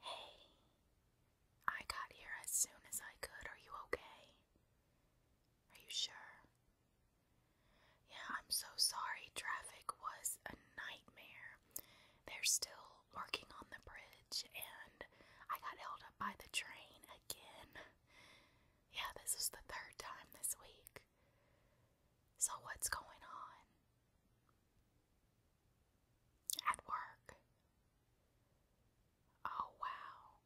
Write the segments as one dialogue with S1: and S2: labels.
S1: Hey, I got here as soon as I could. Are you okay? Are you sure? Yeah, I'm so sorry. Traffic was a nightmare. They're still working on the bridge, and I got held up by the train again. Yeah, this is the third time this week. So, what's going on? At work. Oh, wow.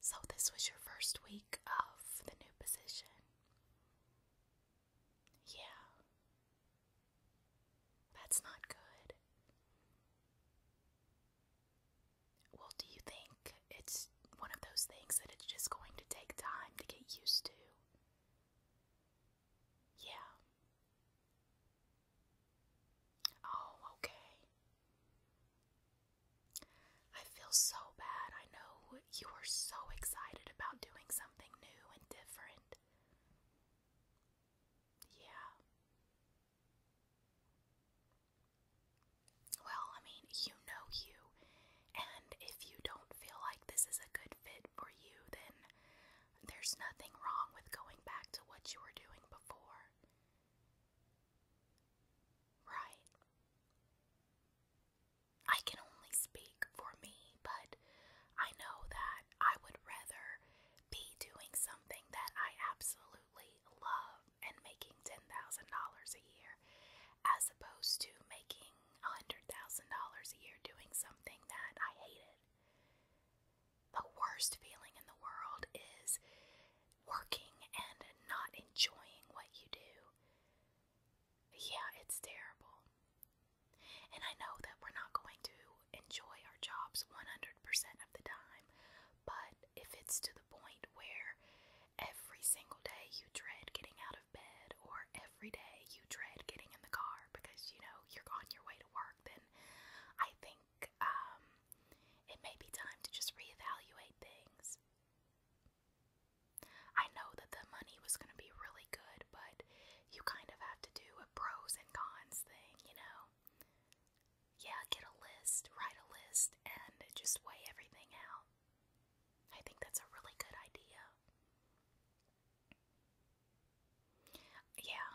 S1: So, this was your first week of the new position. Yeah. That's not good. Well, do you think it's one of those things that it's just going to take time to get used to? Yeah. Oh, okay. I feel so bad. I know you were so excited about doing something new and different. Yeah. Well, I mean, you know you. And if you don't feel like this is a good fit for you, then there's nothing wrong with going back to what you were doing before. Right. I can only speak for me, but I know that I would rather be doing something that I absolutely love and making $10,000 a year as opposed to making $100,000 a year doing something that I hated. The worst feeling in the world is working and not enjoying what you do. Yeah, it's terrible. And I know that we're not going to enjoy our jobs 100% of the time, but if it's to the point where every single day you dread getting out of bed or every day you dread getting in the car because you know you're on your way to work, then I think um, it may be time to just reevaluate things. I know that the money was going to be really good, but you kind of have to do a pros and cons thing, you know? Yeah, get a list, write a list, and just weigh everything out. I think that's a really good idea. Yeah,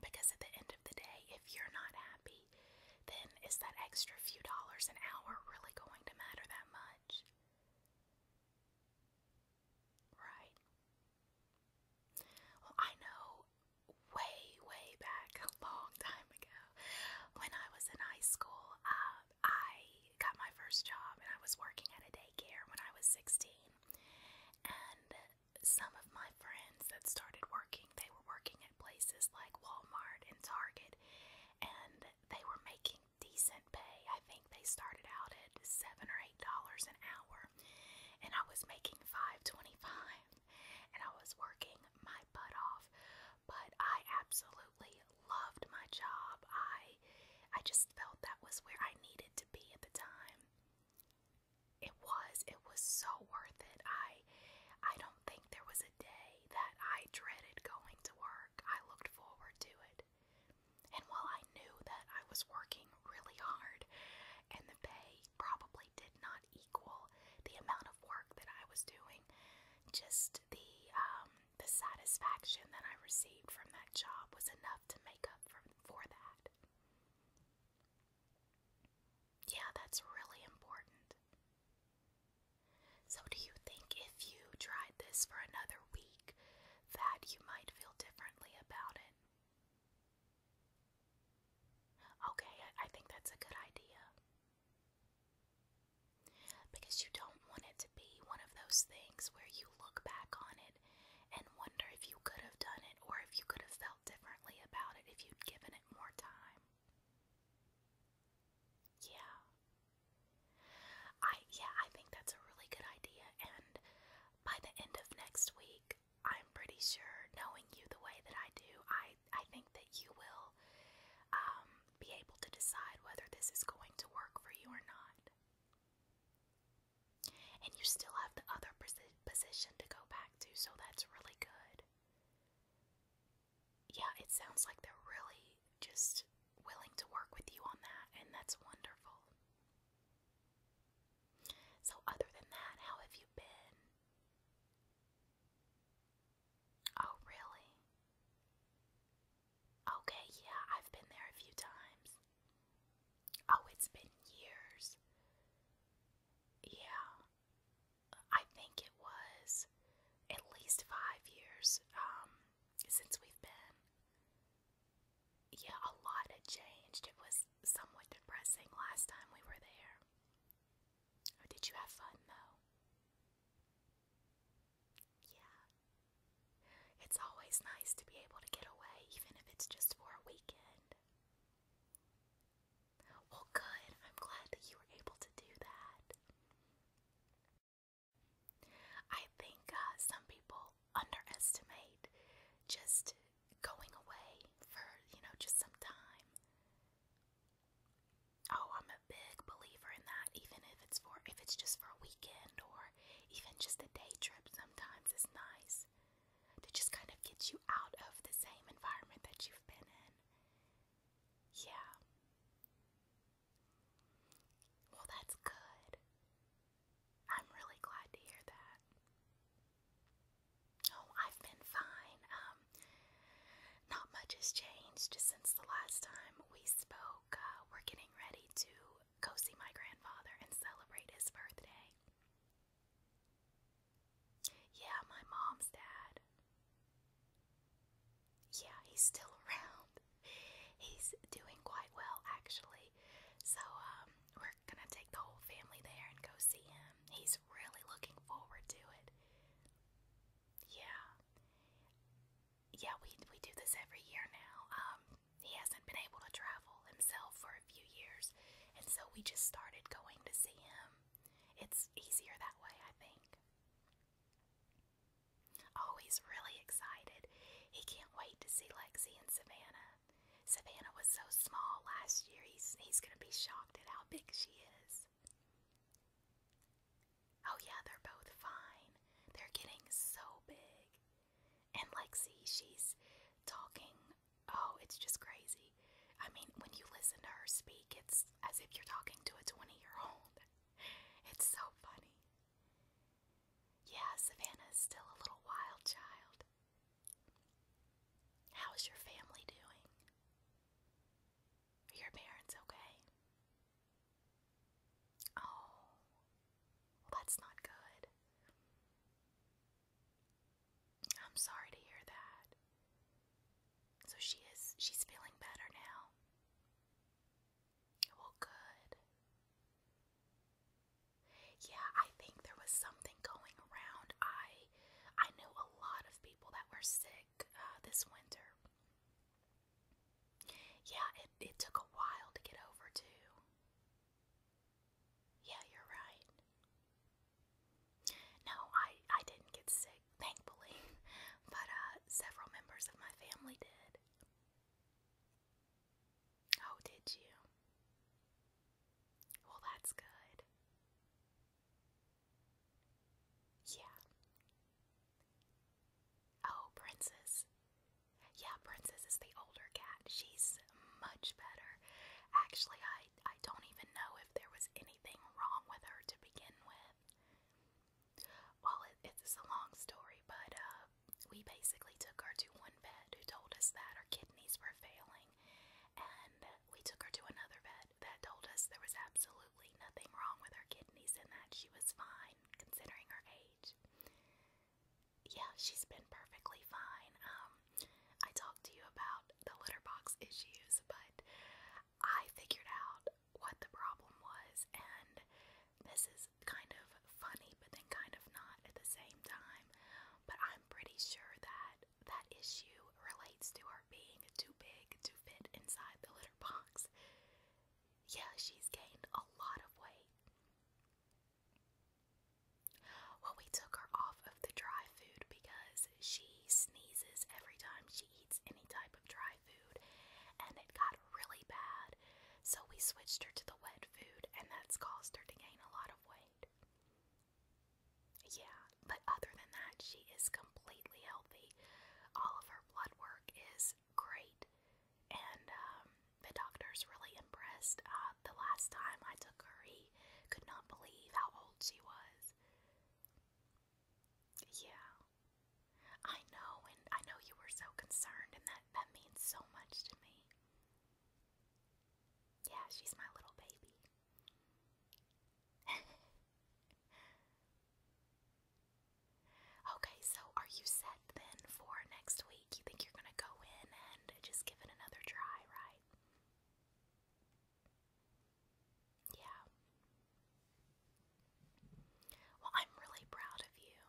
S1: because at the end of the day, if you're not happy, then is that extra few dollars an hour really going to matter that much? Right. Well, I know way, way back a long time ago when I was in high school, um, I got my first job and I was working at a daycare when I was 16. And some of my friends that started working, they were working at places like Walmart and Target and they were making decent pay. I think they started out at 7 or 8 dollars an hour and I was making 5.25 and I was working my butt off, but I absolutely loved my job. I I just felt that was where I needed to be at the time. It was it was so worth it. I I don't think there was a day that I dreaded going to work. I looked forward to it. And while I knew that I was working really hard and the pay probably did not equal the amount of work that I was doing, just the um the satisfaction that I received from that job was enough to make up for, for that. Yeah, that's really important. So, do you think if you tried this for another week that you might feel differently about it? Okay, I, I think that's a good idea because you don't want it to be one of those things where you look back on it and wonder if you could have done it or if you could have felt differently about it if you'd given it more time. Yeah. I yeah, I think that's a really good idea and by the end of next week, I'm pretty sure knowing you the way that I do, I I think that you will um, be able to decide whether this is going to work for you or not. And you still have the other position to go back to, so that's really good. Yeah, it sounds like they're really just willing to work with you on that, and that's wonderful. So, other than that, how have you been? Oh, really? Okay, yeah, I've been there a few times. Oh, it's been years. Yeah, I think it was at least five years um, since we've been. Yeah, a lot had changed. It was somewhat depressing last time we were there. Did you have fun though? Yeah. It's always nice to be able to get away, even if it's just for a weekend. Well, good. I'm glad that you were able to do that. I think uh, some people underestimate just going away for, you know, just some time. Oh, I'm a big believer in that, even if it's for if it's just for a weekend or even just a day trip sometimes is nice to just kind of get you out of the same environment that you've been in. Yeah. Well, that's good. I'm really glad to hear that. Oh, I've been fine. Um, not much has changed just since the last time we spoke. We're getting ready to go see my grandfather and celebrate his birthday. Yeah, my mom's dad. Yeah, he's still around. He's doing quite well, actually. So, um, we're gonna take the whole family there and go see him. He's really looking forward to it. Yeah yeah, we we do this every year now. Um, he hasn't been able to travel himself for a few years, and so we just started going to see him. It's easier that way, I think. Oh, he's really excited. He can't wait to see Lexi and Savannah. Savannah was so small last year. He's he's gonna be shocked at how big she is. Oh, yeah, they're both fine. They're getting so big. And Lexi, she's talking. Oh, it's just crazy. I mean, when you listen to her speak, it's as if you're talking to a 20 year old. It's so funny. Yeah, Savannah is still a little wild child. How's your family doing? Are your parents okay? Oh, well, that's not good. I'm sorry to hear that. So she is, she's feeling better now. Well, good. Yeah, I think there was something going around. I I know a lot of people that were sick uh, this winter. Yeah, it, it took a while to get over, too. Yeah, you're right. No, I, I didn't get sick, thankfully, but uh, several members of my family did. Oh, did you? Well, that's good. Yeah. Oh, Princess. Yeah, Princess is the older cat. She's much better. Actually, I, I don't even know if there was anything wrong with her to begin with. Well, it's a long story, but uh, we basically took her to one vet who told us that her kidneys were failing, and we took her to another vet that told us there was absolutely absolutely nothing wrong with her kidneys and that she was fine considering her age. Yeah, she's been perfectly fine. Um, I talked to you about the litter box issues, but I figured out what the problem was, and this is kind of funny, but then kind of not at the same time. But I'm pretty sure that that issue relates to her being too big to fit inside the litter box. Yeah, she's gained a lot of weight. Well, we took her off of the dry food because she sneezes every time she eats any type of dry food, and it got really bad. So we switched her to the wet food, and that's caused her to gain a lot of weight. Yeah, but other than that, she is completely healthy. All of her blood work is great, and um, the doctor's really impressed. Uh, the last time I took her, he could not believe how old she was. Yeah, I know, and I know you were so concerned, and that, that means so much to me. Yeah, she's my little baby. Okay, so are you set then for next week? You think you're gonna go in and just give it another try, right? Yeah. Well, I'm really proud of you.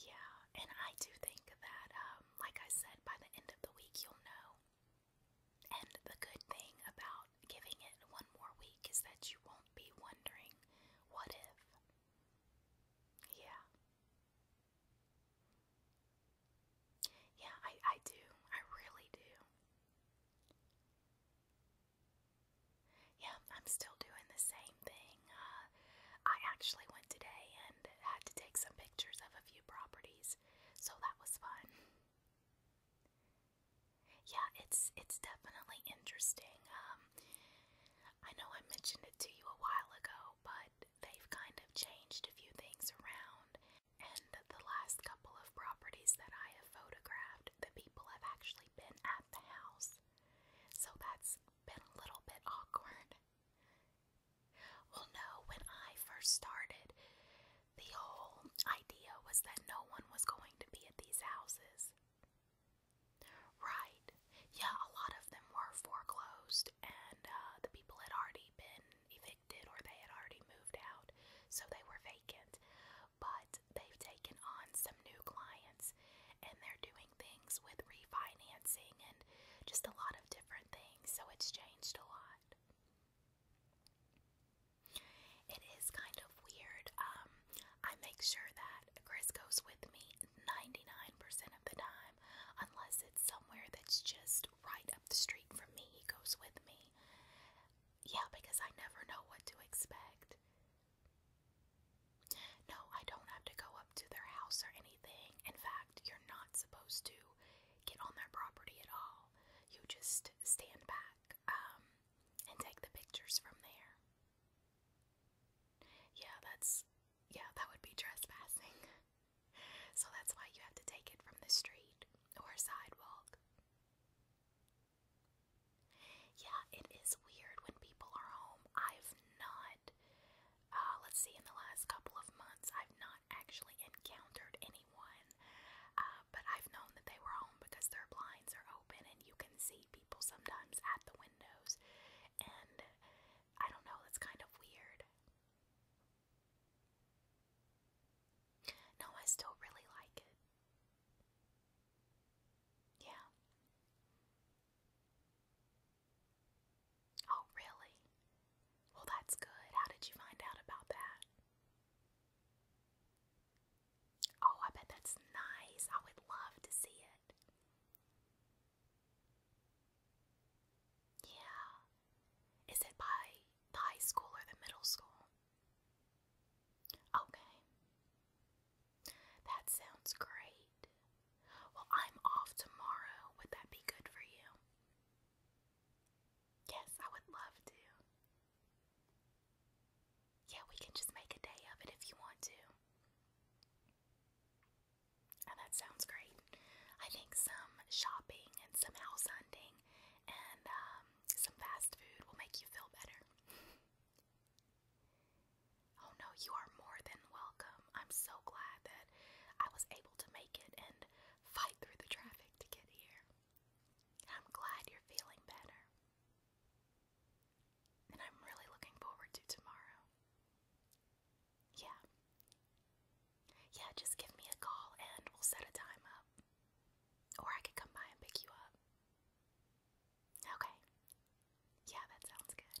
S1: Yeah, and I do think that, um, like I said, by the end of the week, you'll know and the good thing about giving it one more week is that you won't be wondering, what if? Yeah. Yeah, I, I do. I really do. Yeah, I'm still doing the same thing. Uh, I actually went today and had to take some pictures of a few properties, so that was fun yeah, it's it's definitely interesting. Um, I know I mentioned it to you a while ago, but they've kind of changed a few things around. And the last couple of properties that I have photographed, the people have actually been at the house. So that's been a little bit awkward. Well, no, when I first started, the whole idea was that no one was going to be at these houses. Right. Yeah, a lot of them were foreclosed, and uh, the people had already been evicted or they had already moved out, so they were vacant. But they've taken on some new clients, and they're doing things with refinancing and just a lot of different things, so it's changed a lot. It is kind of weird. Um, I make sure that Chris goes with me 99% of the time, unless it's somewhere that's just right up the street from me. He goes with me. Yeah, because I never know what to expect. No, I don't have to go up to their house or anything. In fact, you're not supposed to get on their property at all. You just stand back um, and take the pictures from there. Yeah, that's yeah, that would be trespassing. so that's why you have to take it from the street or sidewalk. Yeah, it is weird when people are home. I've not, uh, let's see, in the last couple of months, I've not actually encountered anyone uh, but I've known that they were home because their blinds are open and you can see people sometimes at the windows. And I don't know, that's kind of weird. No, I still really like it. Yeah. Oh, really? Well, that's good. How did you find out about that? Oh, I bet that's nice. I would love to see it. Yeah. Is it by the high school or the middle school? Okay. That sounds great. Well, I'm off tomorrow. Would that be good for you? Yes, I would love to. Yeah, we can just make a day of it if you want to. Oh, that sounds great. I think some shopping and some house hunting and um, some fast food will make you feel better. oh no, you are more than welcome. I'm so glad that I was able to make it, and fight through the traffic to get here. I'm glad you're feeling better. And I'm really looking forward to tomorrow. Yeah. Yeah, just give me a call and we'll set a time up. Or I could come by and pick you up. Okay. Yeah, that sounds good.